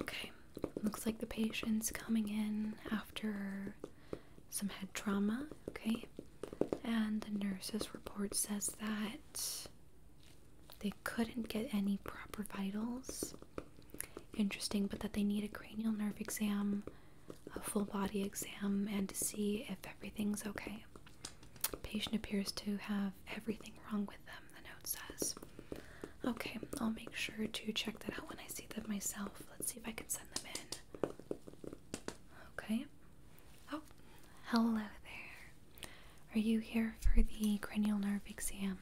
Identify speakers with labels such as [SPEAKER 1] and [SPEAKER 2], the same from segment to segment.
[SPEAKER 1] Okay, looks like the patient's coming in after some head trauma, okay? And the nurse's report says that they couldn't get any proper vitals. Interesting, but that they need a cranial nerve exam, a full body exam, and to see if everything's okay. Patient appears to have everything wrong with them, the note says. Okay, I'll make sure to check that out when I see them myself. Let's see if I can send them in. Okay. Oh, hello there. Are you here for the cranial nerve exam?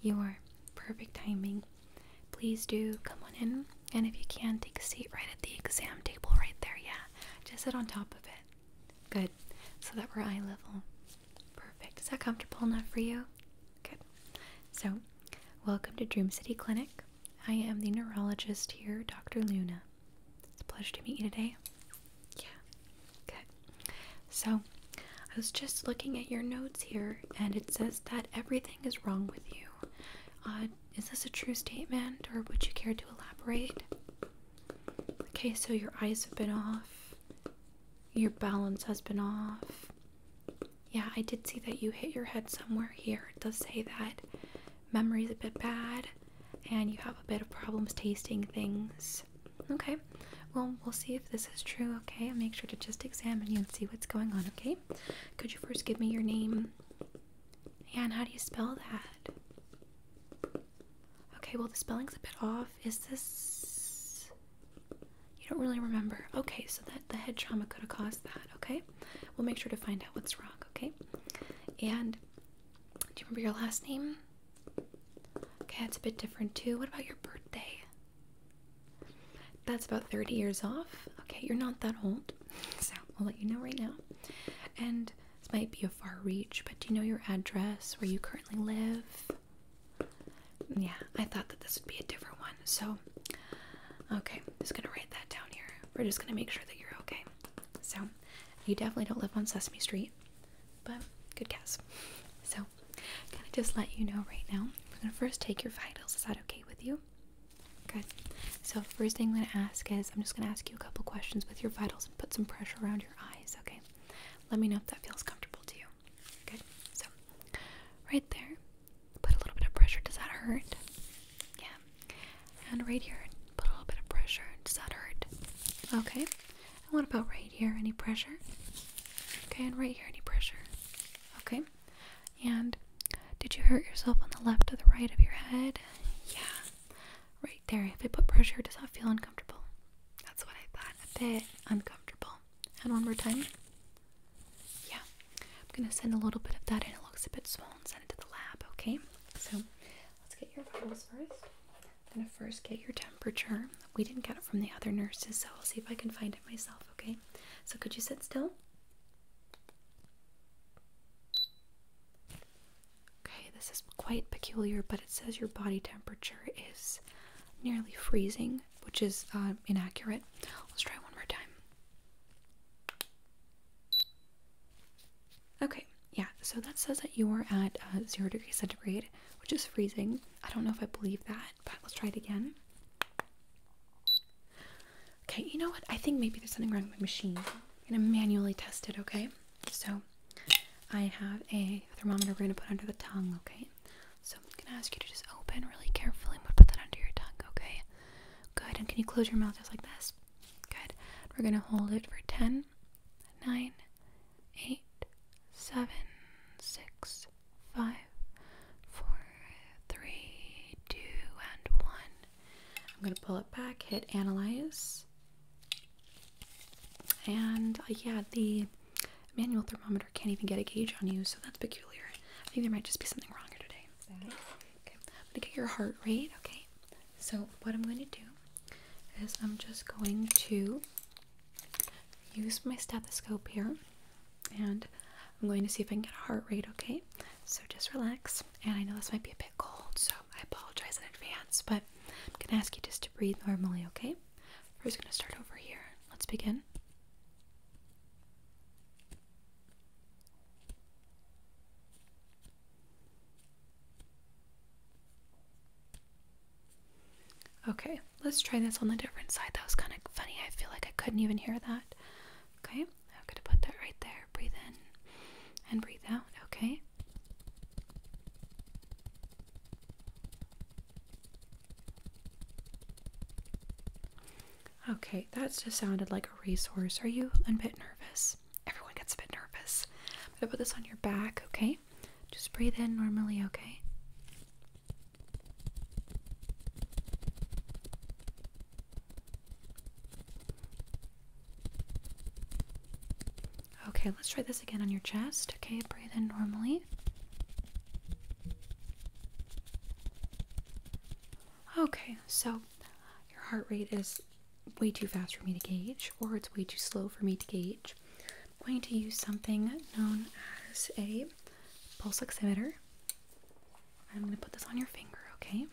[SPEAKER 1] You are. Perfect timing. Please do come on in, and if you can, take a seat right at the exam table right there. Yeah, just sit on top of it. Good. So that we're eye level. Perfect. Is that comfortable enough for you? Good. So, welcome to Dream City Clinic. I am the neurologist here, Dr. Luna. It's a pleasure to meet you today. Yeah. Good. So, I was just looking at your notes here, and it says that everything is wrong with you. Uh, is this a true statement, or would you care to elaborate? Okay, so your eyes have been off. Your balance has been off. Yeah, I did see that you hit your head somewhere here. It does say that memory's a bit bad and you have a bit of problems tasting things. Okay, well, we'll see if this is true, okay? I'll make sure to just examine you and see what's going on, okay? Could you first give me your name? And how do you spell that? Okay, well, the spelling's a bit off. Is this. You don't really remember. Okay, so that the head trauma could have caused that, okay? We'll make sure to find out what's wrong, okay? And do you remember your last name? Okay, that's a bit different too. What about your birthday? That's about 30 years off. Okay, you're not that old, so we will let you know right now. And this might be a far reach, but do you know your address, where you currently live? Yeah, I thought that this would be a different one. So, okay, just gonna write that down here. We're just gonna make sure that you're okay. So, you definitely don't live on Sesame Street, but good guess. So, I'm gonna just let you know right now. I'm gonna first take your vitals. Is that okay with you? Good. So, first thing I'm gonna ask is I'm just gonna ask you a couple questions with your vitals and put some pressure around your eyes, okay? Let me know if that feels comfortable to you. Good. So, right there, put a little bit of pressure. Does that hurt? Yeah. And right here, put a little bit of pressure. Does that hurt? Okay. And what about right here? Any pressure? Okay. And right here, any pressure? Okay. And did you hurt yourself on the left or the right of your head? Yeah. Right there. If I put pressure, does that feel uncomfortable? That's what I thought. A bit uncomfortable. And one more time. Yeah. I'm going to send a little bit of that in. It looks a bit swollen. Send it to the lab, okay? So let's get your vitals first. I'm going to first get your temperature. We didn't get it from the other nurses, so I'll see if I can find it myself, okay? So could you sit still? Okay, this is quite peculiar, but it says your body temperature is nearly freezing, which is uh, inaccurate. Let's try one more time. Okay, yeah, so that says that you are at uh, zero degrees centigrade, which is freezing. I don't know if I believe that, but let's try it again. Okay, you know what? I think maybe there's something wrong with my machine. I'm gonna manually test it, okay? So I have a thermometer we're going to put under the tongue, okay? So I'm going to ask you to just open really carefully and we'll put that under your tongue, okay? Good. And can you close your mouth just like this? Good. We're going to hold it for 10, 9, 8, 7, 6, 5, 4, 3, 2, and 1. I'm going to pull it back, hit analyze. And uh, yeah, the manual thermometer can't even get a gauge on you, so that's peculiar. I think there might just be something wrong here today. okay. I'm gonna get your heart rate, okay? So, what I'm gonna do is I'm just going to use my stethoscope here and I'm going to see if I can get a heart rate, okay? So just relax. And I know this might be a bit cold, so I apologize in advance, but I'm gonna ask you just to breathe normally, okay? We're just gonna start over here. Let's begin. Okay, let's try this on the different side. That was kind of funny. I feel like I couldn't even hear that. Okay, I'm going to put that right there. Breathe in and breathe out. Okay. Okay, that just sounded like a resource. Are you a bit nervous? Everyone gets a bit nervous. I'm gonna put this on your back, okay? Just breathe in normally, okay? Okay, let's try this again on your chest. Okay, breathe in normally. Okay, so your heart rate is way too fast for me to gauge, or it's way too slow for me to gauge. I'm going to use something known as a pulse oximeter. I'm going to put this on your finger, okay?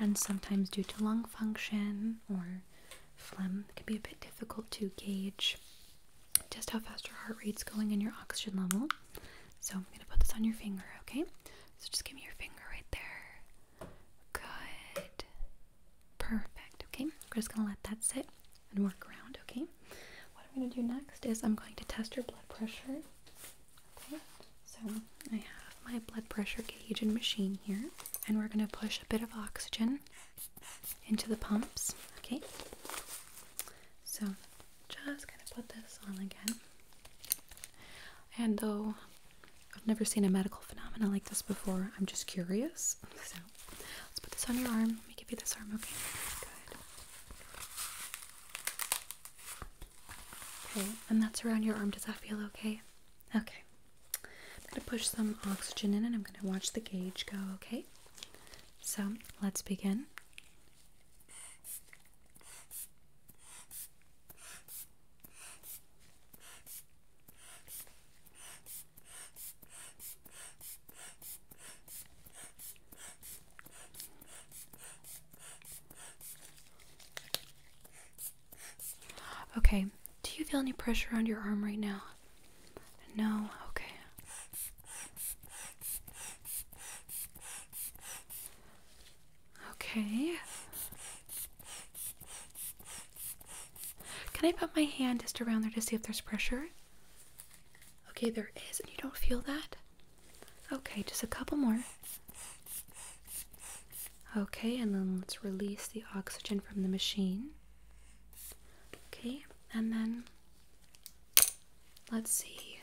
[SPEAKER 1] And sometimes, due to lung function or phlegm, it can be a bit difficult to gauge just how fast your heart rate's going and your oxygen level. So I'm going to put this on your finger, okay? So just give me your finger right there. Good. Perfect, okay? We're just going to let that sit and work around, okay? What I'm going to do next is I'm going to test your blood pressure. Okay? So I have my blood pressure gauge and machine here, and we're going to push a bit of oxygen into the pumps. Okay, so just gonna put this on again. And though I've never seen a medical phenomenon like this before, I'm just curious. So let's put this on your arm. Let me give you this arm, okay? Good. Okay, and that's around your arm. Does that feel okay? Okay. I'm gonna push some oxygen in and I'm gonna watch the gauge go, okay? So let's begin. Okay, do you feel any pressure on your arm right now? No, okay. Okay. Can I put my hand just around there to see if there's pressure? Okay, there is, and you don't feel that? Okay, just a couple more. Okay, and then let's release the oxygen from the machine. Okay, and then let's see.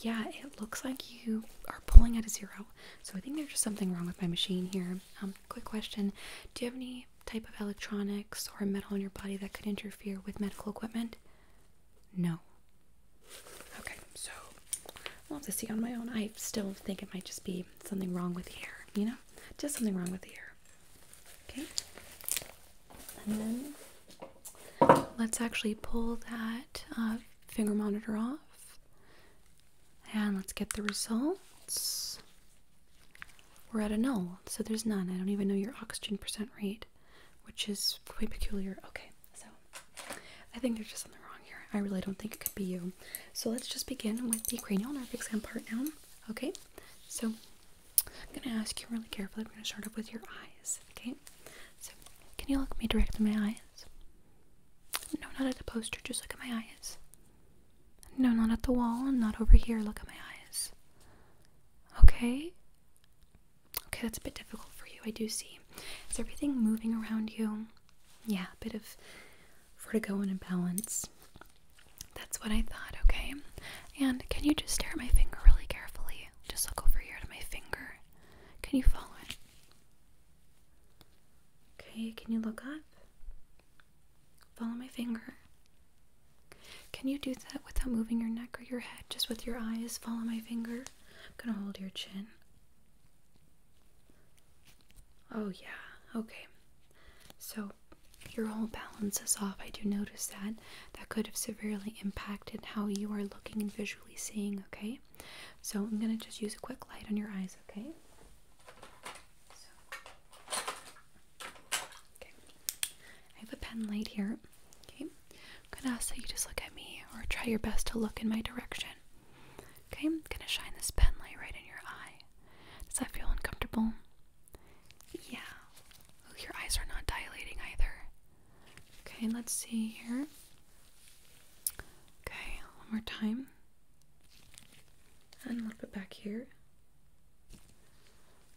[SPEAKER 1] Yeah, it looks like you are pulling at a zero. So I think there's just something wrong with my machine here. Um, quick question Do you have any type of electronics or metal in your body that could interfere with medical equipment? No. Okay, so I'll have to see on my own. I still think it might just be something wrong with the air, you know? Just something wrong with the air. Okay. And then let's actually pull that uh, finger monitor off and let's get the results. We're at a null, so there's none. I don't even know your oxygen percent rate, which is quite peculiar. Okay, so I think there's just something wrong here. I really don't think it could be you. So let's just begin with the cranial nerve exam part now. Okay, so I'm gonna ask you really carefully. I'm gonna start off with your eyes. Okay. So can you look me direct in my eyes? No, not at the poster, just look at my eyes. No, not at the wall, not over here, look at my eyes. Okay. Okay, that's a bit difficult for you, I do see. Is everything moving around you? Yeah, a bit of vertigo and imbalance. That's what I thought, okay? And can you just stare at my finger really carefully? Just look over here to my finger. Can you follow it? Okay, can you look up? Follow my finger. Can you do that without moving your neck or your head? Just with your eyes, follow my finger. I'm gonna hold your chin. Oh, yeah, okay. So your whole balance is off. I do notice that. That could have severely impacted how you are looking and visually seeing, okay? So I'm going to just use a quick light on your eyes, Okay. I have a pen light here. Okay. I'm going to ask that you just look at me or try your best to look in my direction. Okay, I'm going to shine this pen light right in your eye. Does that feel uncomfortable? Yeah. Ooh, your eyes are not dilating either. Okay, let's see here. Okay, one more time. And a little bit back here.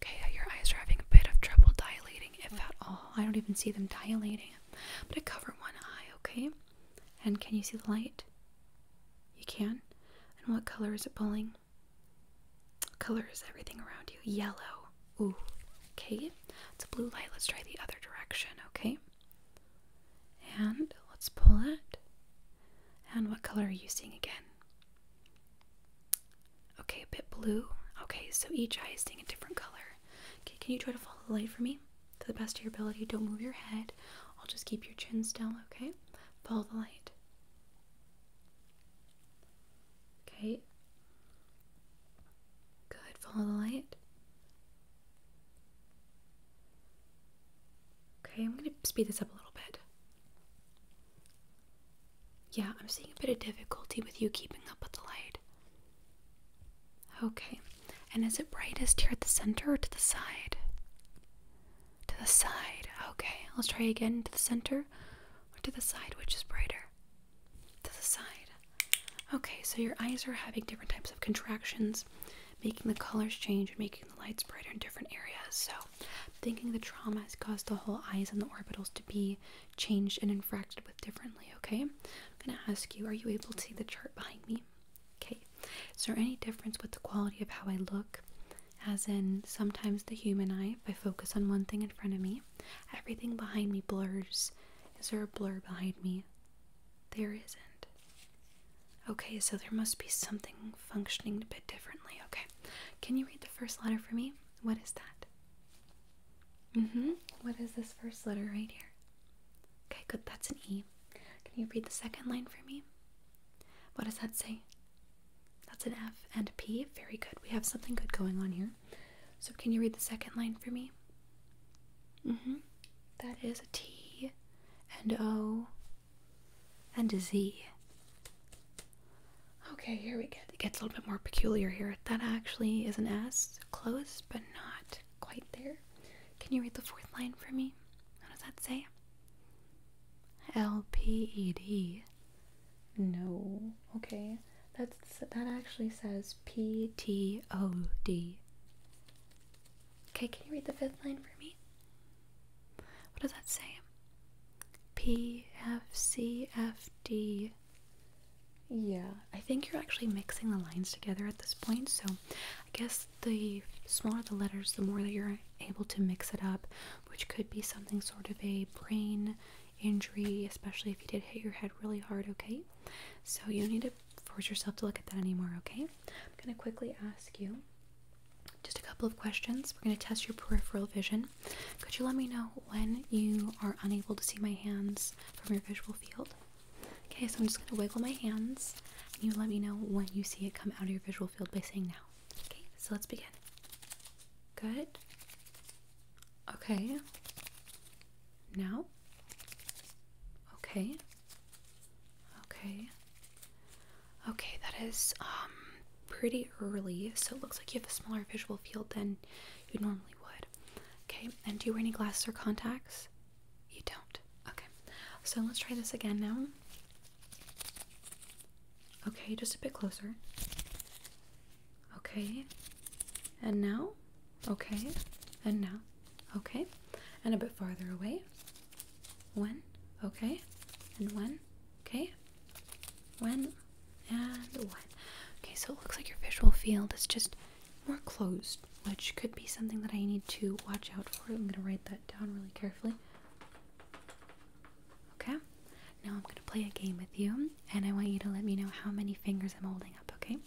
[SPEAKER 1] Okay, your eyes are having a bit of trouble dilating, if at all. I don't even see them dilating. But I cover one eye, okay? And can you see the light? You can? And what color is it pulling? Color is everything around you. Yellow. Ooh. Okay. It's a blue light. Let's try the other direction, okay? And let's pull it. And what color are you seeing again? Okay, a bit blue. Okay, so each eye is seeing a different color. Okay, can you try to follow the light for me? For the best of your ability. Don't move your head. I'll just keep your chin still, okay? Follow the light. Okay. Good. Follow the light. Okay, I'm going to speed this up a little bit. Yeah, I'm seeing a bit of difficulty with you keeping up with the light. Okay, and is it brightest here at the center or to the side? To the side. Okay, let's try again. To the center or to the side, which is brighter? To the side. Okay, so your eyes are having different types of contractions, making the colors change and making the lights brighter in different areas. So, thinking the trauma has caused the whole eyes and the orbitals to be changed and infracted with differently, okay? I'm going to ask you, are you able to see the chart behind me? Okay. Is there any difference with the quality of how I look? as in sometimes the human eye, if I focus on one thing in front of me, everything behind me blurs. Is there a blur behind me? There isn't. Okay, so there must be something functioning a bit differently. Okay, can you read the first letter for me? What is that? Mm hmm. What is this first letter right here? Okay, good. That's an E. Can you read the second line for me? What does that say? That's an F and P. Very good. We have something good going on here. So, can you read the second line for me? Mm-hmm. That is a T and O and a Z. Okay, here we go. It gets a little bit more peculiar here. That actually is an S, close, but not quite there. Can you read the fourth line for me? What does that say? LPED. No. Okay. That's that actually says PTOD. Okay, can you read the fifth line for me? What does that say? P F C F D. Yeah, I think you're actually mixing the lines together at this point. So, I guess the smaller the letters, the more that you're able to mix it up which could be something sort of a brain injury, especially if you did hit your head really hard, okay? So you need to force yourself to look at that anymore, okay? I'm going to quickly ask you just a couple of questions. We're going to test your peripheral vision. Could you let me know when you are unable to see my hands from your visual field? Okay, so I'm just going to wiggle my hands and you let me know when you see it come out of your visual field by saying now. Okay, so let's begin. Good. Okay. Now. Okay. Okay. Okay, that is um pretty early, so it looks like you have a smaller visual field than you normally would. Okay, and do you wear any glasses or contacts? You don't. Okay, so let's try this again now. Okay, just a bit closer. Okay. And now? Okay. And now? Okay. And a bit farther away. One. Okay. And one. Okay. One. And one. Okay, so it looks like your visual field is just more closed, which could be something that I need to watch out for. I'm going to write that down really carefully. Okay? Now I'm going to play a game with you, and I want you to let me know how many fingers I'm holding up, okay?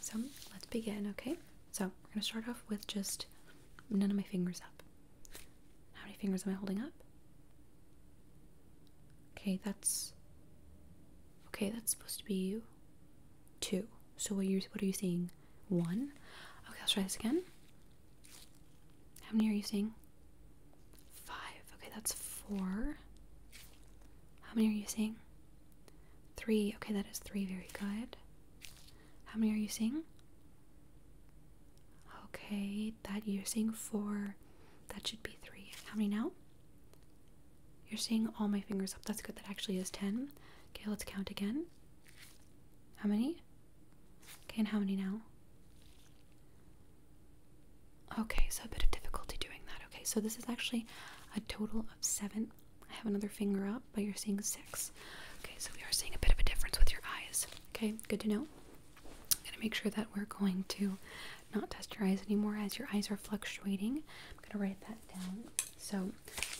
[SPEAKER 1] So let's begin, okay? So we're going to start off with just none of my fingers up. How many fingers am I holding up? Okay, that's. Okay, that's supposed to be two. So what you, what are you seeing? One. Okay, let's try this again. How many are you seeing? Five. Okay, that's four. How many are you seeing? Three. Okay, that is three. Very good. How many are you seeing? Okay, that you're seeing four. That should be three. How many now? You're seeing all my fingers up. That's good. That actually is ten. Okay, let's count again. How many? Okay, and how many now? Okay, so a bit of difficulty doing that. Okay, so this is actually a total of seven. I have another finger up, but you're seeing six. Okay, so we are seeing a bit of a difference with your eyes. Okay, good to know. I'm gonna make sure that we're going to not test your eyes anymore as your eyes are fluctuating. I'm gonna write that down. So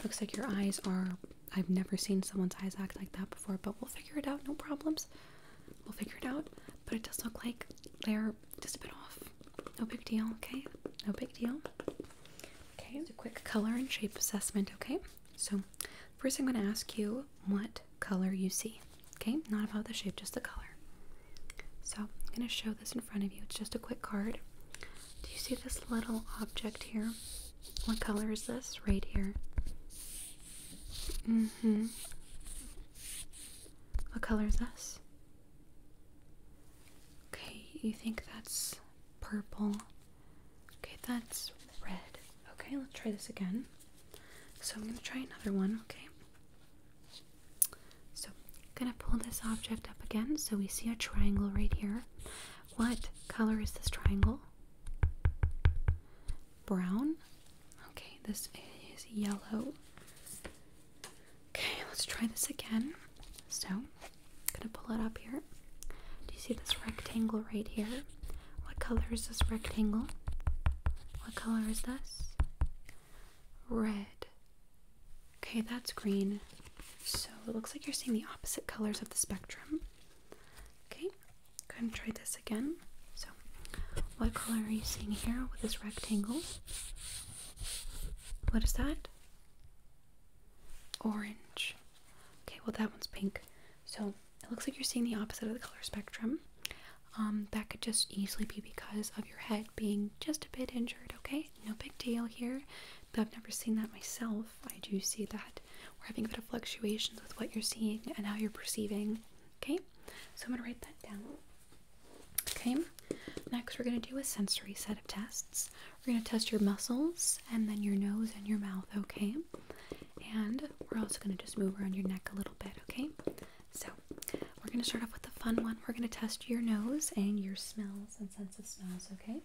[SPEAKER 1] looks like your eyes are I've never seen someone's eyes act like that before, but we'll figure it out, no problems. We'll figure it out, but it does look like they're just a bit off. No big deal, okay? No big deal. Okay, just a quick color and shape assessment, okay? So, first I'm going to ask you what color you see, okay? Not about the shape, just the color. So, I'm going to show this in front of you. It's just a quick card. Do you see this little object here? What color is this? Right here. Mm hmm. What color is this? Okay, you think that's purple. Okay, that's red. Okay, let's try this again. So I'm gonna try another one, okay? So gonna pull this object up again. So we see a triangle right here. What color is this triangle? Brown? Okay, this is yellow. Okay, let's try this again. So, I'm gonna pull it up here. Do you see this rectangle right here? What color is this rectangle? What color is this? Red. Okay, that's green. So, it looks like you're seeing the opposite colors of the spectrum. Okay, Go ahead and try this again. So, what color are you seeing here with this rectangle? What is that? Orange. Okay, well, that one's pink. So, it looks like you're seeing the opposite of the color spectrum. Um, that could just easily be because of your head being just a bit injured, okay? No big deal here, but I've never seen that myself. I do see that we're having a bit of fluctuations with what you're seeing and how you're perceiving Okay, so I'm gonna write that down. Okay, next we're gonna do a sensory set of tests. We're gonna test your muscles and then your nose and your mouth, okay? And we're also gonna just move around your neck a little bit, okay? So we're gonna start off with the fun one. We're gonna test your nose and your smells and sense of smells, okay?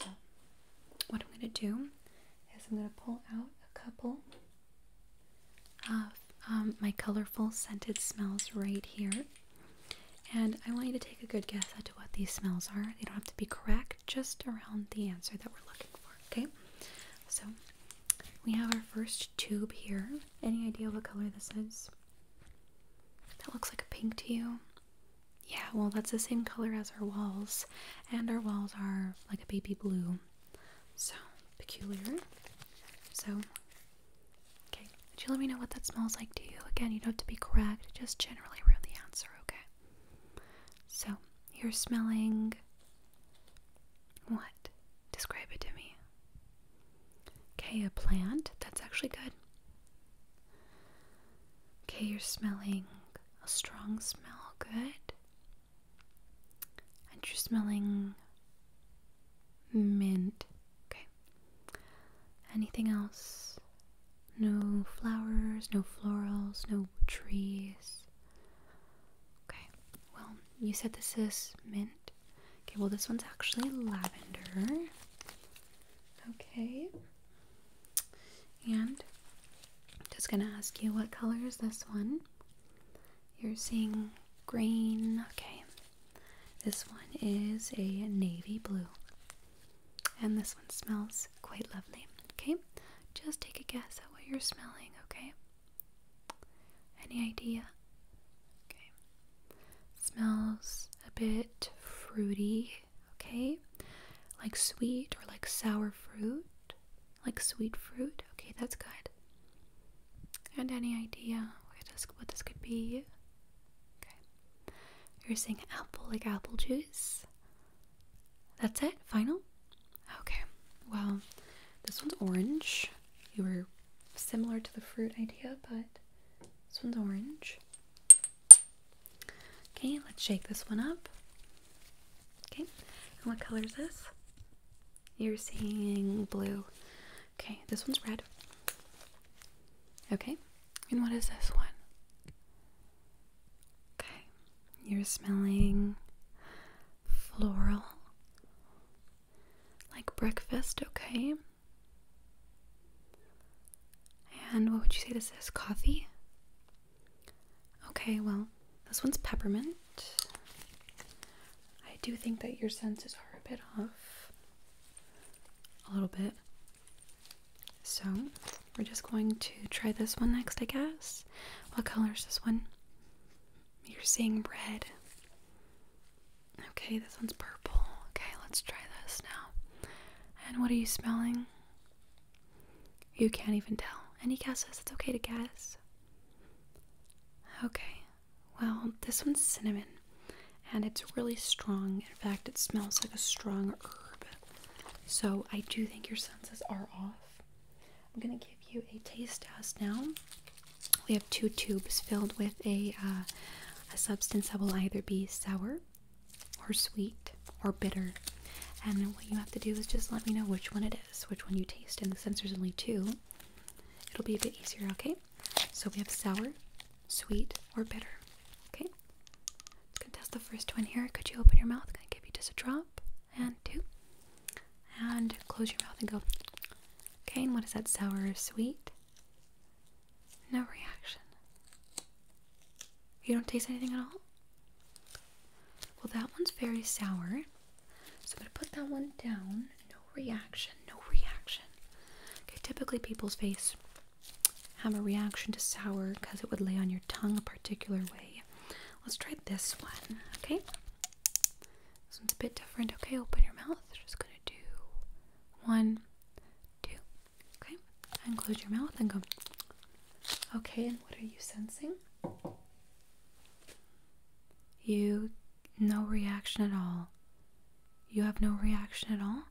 [SPEAKER 1] So what I'm gonna do is I'm gonna pull out a couple um, my colorful scented smells right here. And I want you to take a good guess as to what these smells are. They don't have to be correct, just around the answer that we're looking for, okay? So we have our first tube here. Any idea what color this is? That looks like a pink to you? Yeah, well, that's the same color as our walls, and our walls are like a baby blue. So peculiar. So, okay. Would you let me know what that smells like to you? Again, you don't have to be correct, just generally around the answer, okay? So, you're smelling what? Describe it to me. Okay, a plant. That's actually good. Okay, you're smelling a strong smell. Good and you're smelling mint. Okay. Anything else? No flowers, no florals, no trees. Okay. Well, you said this is mint. Okay, well, this one's actually lavender. Okay. And I'm just gonna ask you what color is this one? You're seeing green. Okay. This one is a navy blue. And this one smells quite lovely. Okay? Just take a guess at what you're smelling, okay? Any idea? Okay. Smells a bit fruity, okay? Like sweet or like sour fruit. Like sweet fruit. Okay, that's good. And any idea what this could be? Okay. You're saying apple, like apple juice? That's it? Final? Okay. Well, this one's orange. You were similar to the fruit idea, but this one's orange. Okay, let's shake this one up. Okay, and what color is this? You're seeing blue. Okay, this one's red. Okay, and what is this one? Okay, you're smelling floral. Like breakfast, okay? And what would you say this is? Coffee? Okay, well, this one's peppermint. I do think that your senses are a bit off. A little bit. So, we're just going to try this one next, I guess. What color is this one? You're seeing red. Okay, this one's purple. Okay, let's try this now. And what are you smelling? You can't even tell. Any guesses? It's okay to guess. Okay, well, this one's cinnamon and it's really strong. In fact, it smells like a strong herb. So I do think your senses are off. I'm gonna give you a taste test now. We have two tubes filled with a, uh, a substance that will either be sour or sweet or bitter. And what you have to do is just let me know which one it is, which one you taste. And the there's only two, It'll be a bit easier, okay? So we have sour, sweet, or bitter. Okay? Let's test the first one here. Could you open your mouth? Gonna give you just a drop and two. And close your mouth and go. Okay, and what is that? Sour sweet? No reaction. You don't taste anything at all? Well, that one's very sour. So I'm going to put that one down. No reaction, no reaction. Okay, typically people's face have a reaction to sour because it would lay on your tongue a particular way. Let's try this one, okay? This one's a bit different. Okay, open your mouth. Just going to do one, two, okay? And close your mouth and go. Okay, and what are you sensing? You no reaction at all. You have no reaction at all?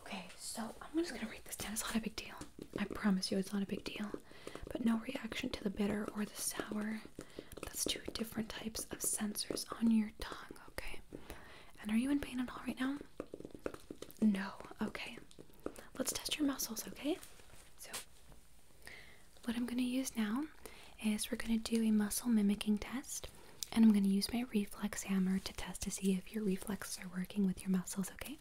[SPEAKER 1] Okay, so I'm just gonna read this down. It's not a big deal. I promise you it's not a big deal. But no reaction to the bitter or the sour. That's two different types of sensors on your tongue, okay? And are you in pain at all right now? No, okay. Let's test your muscles, okay? So what I'm going to use now is we're going to do a muscle mimicking test, and I'm going to use my reflex hammer to test to see if your reflexes are working with your muscles, okay?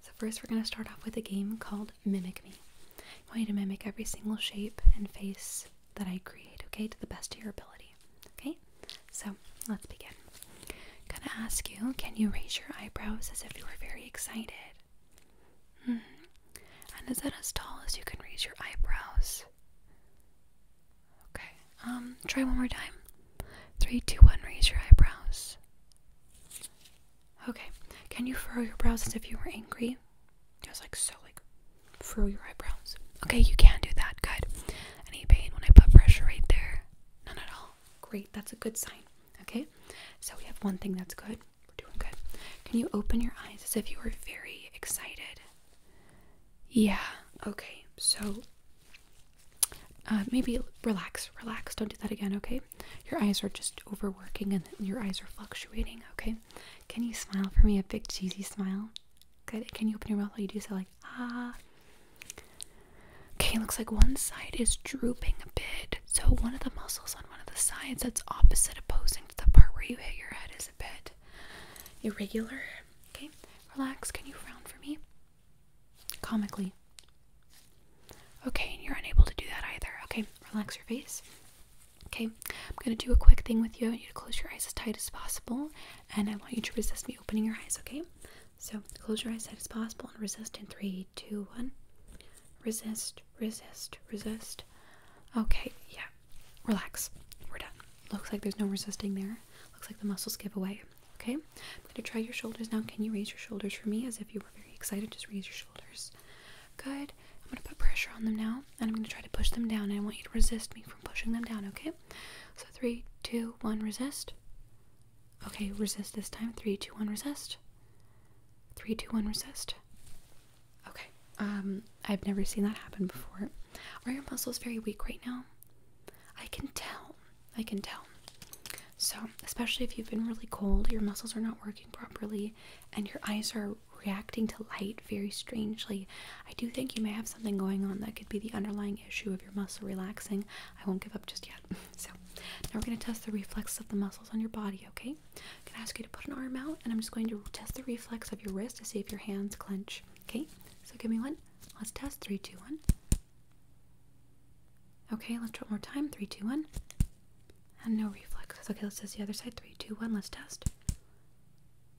[SPEAKER 1] So, first, we're going to start off with a game called Mimic Me. I want you to mimic every single shape and face that I create, okay, to the best of your ability, okay? So, let's begin. I'm going to ask you can you raise your eyebrows as if you were very excited? Mm-hmm. And is that as tall as you can raise your eyebrows? Okay. Um, try one more time. Three, two, one, raise your eyebrows. Okay. Can you furrow your brows as if you were angry? was like so, like furrow your eyebrows. Okay, you can do that. Good. Any pain when I put pressure right there? None at all. Great, that's a good sign. Okay? So we have one thing that's good. We're doing good. Can you open your eyes as if you were very excited? Yeah, okay. So uh, maybe relax, relax. Don't do that again, okay? Your eyes are just overworking and your eyes are fluctuating, okay? Can you smile for me a big cheesy smile? Good. Can you open your mouth while you do so? Like, ah. Okay, looks like one side is drooping a bit. So one of the muscles on one of the sides that's opposite opposing to the part where you hit your head is a bit irregular. Okay, relax. Can you frown for me? Comically. Okay, and you're unable to do that either. Okay, relax your face. Okay, I'm gonna do a quick thing with you. I want you to close your eyes as tight as possible, and I want you to resist me opening your eyes, okay? So close your eyes tight as possible and resist in three, two, one. Resist resist, resist. Okay, yeah, relax. We're done. Looks like there's no resisting there. Looks like the muscles give away. Okay, I'm going to try your shoulders now. Can you raise your shoulders for me as if you were very excited? Just raise your shoulders. Good. I'm going to put pressure on them now and I'm going to try to push them down. And I want you to resist me from pushing them down, okay? So three, two, one, resist. Okay, resist this time. Three, two, one, resist. Three, two, one, resist. Okay. Um, I've never seen that happen before. Are your muscles very weak right now? I can tell. I can tell. So, especially if you've been really cold, your muscles are not working properly, and your eyes are reacting to light very strangely. I do think you may have something going on that could be the underlying issue of your muscle relaxing. I won't give up just yet. So, now we're going to test the reflex of the muscles on your body, okay? I'm gonna ask you to put an arm out, and I'm just going to test the reflex of your wrist to see if your hands clench. Okay, so give me one. Let's test. Three, two, one. Okay, let's try one more time. Three, two, one. And no reflexes. Okay, let's test the other side. Three, two, one. Let's test.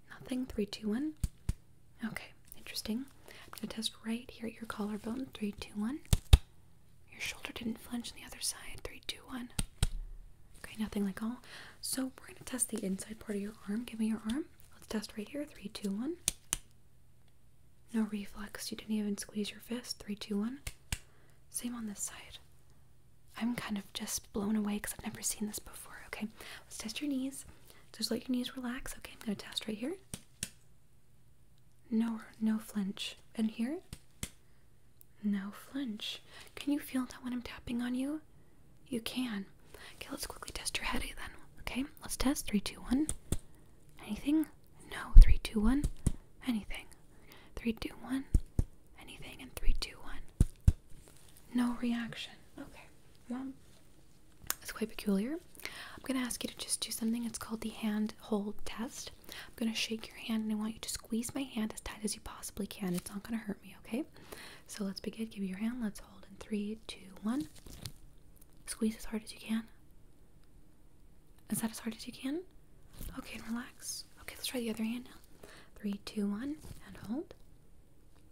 [SPEAKER 1] Nothing. Three, two, one. Okay, interesting. I'm gonna test right here at your collarbone. Three, two, one. Your shoulder didn't flinch on the other side. Three, two, one. Okay, nothing like all. So we're gonna test the inside part of your arm. Give me your arm. Let's test right here. Three, two, one. No reflex. You didn't even squeeze your fist. Three, two, one. Same on this side. I'm kind of just blown away because I've never seen this before. Okay, let's test your knees. Just let your knees relax. Okay, I'm gonna test right here. No, no flinch. And here, no flinch. Can you feel that when I'm tapping on you? You can. Okay, let's quickly test your headache then. Okay, let's test. Three, two, one. Anything? No. Three, two, one. Anything. Three, two, one. Anything. And three, two, one. No reaction. Okay. Well, it's quite peculiar. I'm gonna ask you to just do something. It's called the hand hold test. I'm going to shake your hand and I want you to squeeze my hand as tight as you possibly can. It's not going to hurt me, okay? So let's begin. Give me your hand. Let's hold in three, two, one. Squeeze as hard as you can. Is that as hard as you can? Okay, and relax. Okay, let's try the other hand now. Three, two, one, and hold.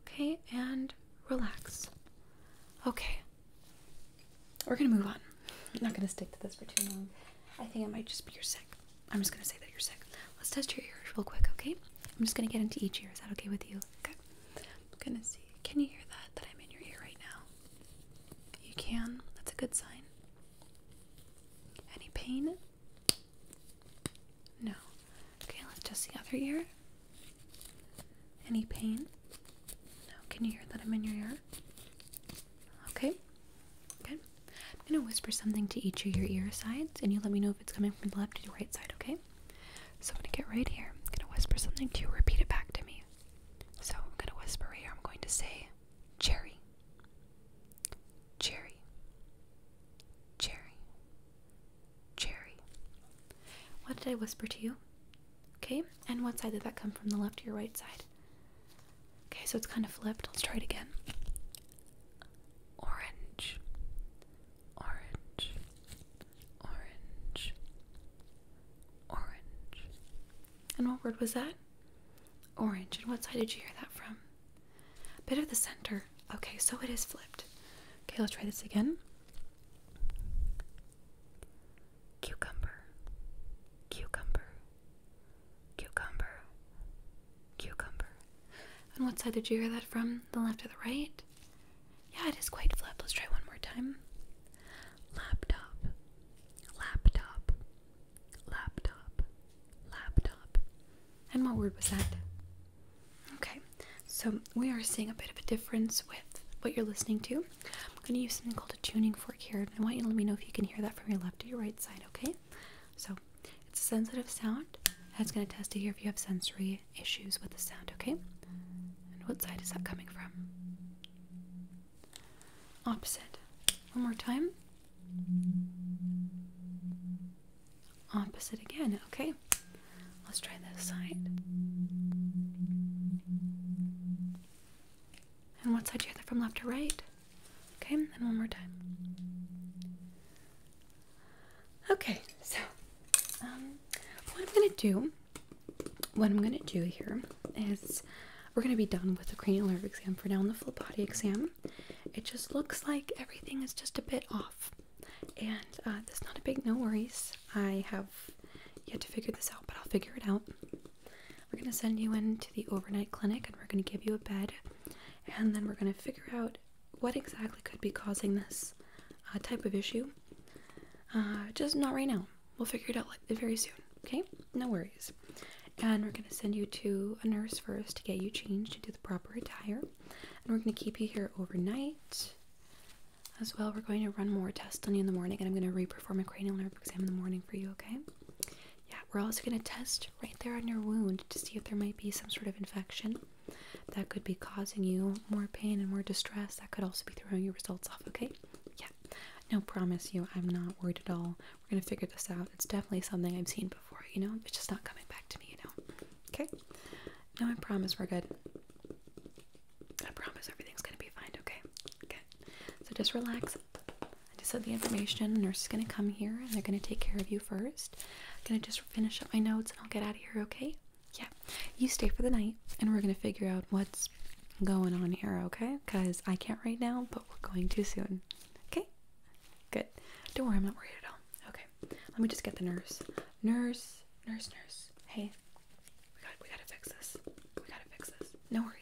[SPEAKER 1] Okay, and relax. Okay. We're gonna move on. I'm not gonna stick to this for too long. I think it might just be you're sick. I'm just gonna say that you're sick. Let's test your ears real quick, okay? I'm just gonna get into each ear. Is that okay with you? Okay. I'm gonna see. Can you hear that? That I'm in your ear right now. You can. That's a good sign. Any pain? No. Okay, let's test the other ear. Any pain? No. Can you hear that I'm in your ear? Okay? Good. I'm going to whisper something to each of your ear sides, and you let me know if it's coming from the left to the right side, okay? So I'm going to get right here. I'm going to whisper something to you. Repeat it back to me. So I'm going to whisper here. I'm going to say, cherry, cherry, cherry, cherry. What did I whisper to you? Okay, and what side did that come from? The left or your right side? Okay, so it's kind of flipped. Let's try it again. Orange, orange, orange, orange. And what word was that? Orange. And what side did you hear that from? Bit of the center. Okay, so it is flipped. Okay, let's try this again. Cucumber, cucumber, Cucumber. Cucumber. And what side did you hear that from? The left or the right? Yeah, it is quite flip. Let's try one more time. Laptop. Laptop. Laptop. Laptop. And what word was that? Okay, so we are seeing a bit of a difference with what you're listening to. I'm going to use something called a tuning fork here, and I want you to let me know if you can hear that from your left to your right side, okay? So it's a sensitive sound. That's going to test to hear if you have sensory issues with the sound, okay? And what side is that coming from? Opposite. One more time. Opposite again, okay? Let's try this side. And what side do you hear from left to right? Okay, and one more time. Okay, so um, what I'm gonna do, what I'm gonna do here is we're gonna be done with the cranial nerve exam for now. And the full body exam, it just looks like everything is just a bit off, and uh, that's not a big no worries. I have yet to figure this out, but I'll figure it out. We're going to send you into the overnight clinic and we're going to give you a bed. And then we're going to figure out what exactly could be causing this uh, type of issue. Uh, just not right now. We'll figure it out very soon, okay? No worries. And we're going to send you to a nurse first to get you changed into the proper attire. And we're going to keep you here overnight. As well, we're going to run more tests on you in the morning, and I'm going to reperform a cranial nerve exam in the morning for you, okay? Yeah, we're also going to test right there on your wound to see if there might be some sort of infection that could be causing you more pain and more distress. That could also be throwing your results off, okay? Yeah, no, promise you, I'm not worried at all. We're going to figure this out. It's definitely something I've seen before, you know? It's just not coming back to me, you know? Okay? No, I promise we're good. I promise everything's going to be fine, okay? Okay. So just relax. I just have the information. The nurse is going to come here and they're going to take care of you first. I'm going to just finish up my notes and I'll get out of here, okay? Yeah. You stay for the night and we're going to figure out what's going on here, okay? Because I can't right now, but we're going to soon. Okay? Good. Don't worry, I'm not worried at all. Okay. Let me just get the nurse. Nurse, nurse, nurse. Hey. We got we gotta fix this. We gotta fix this. No worries.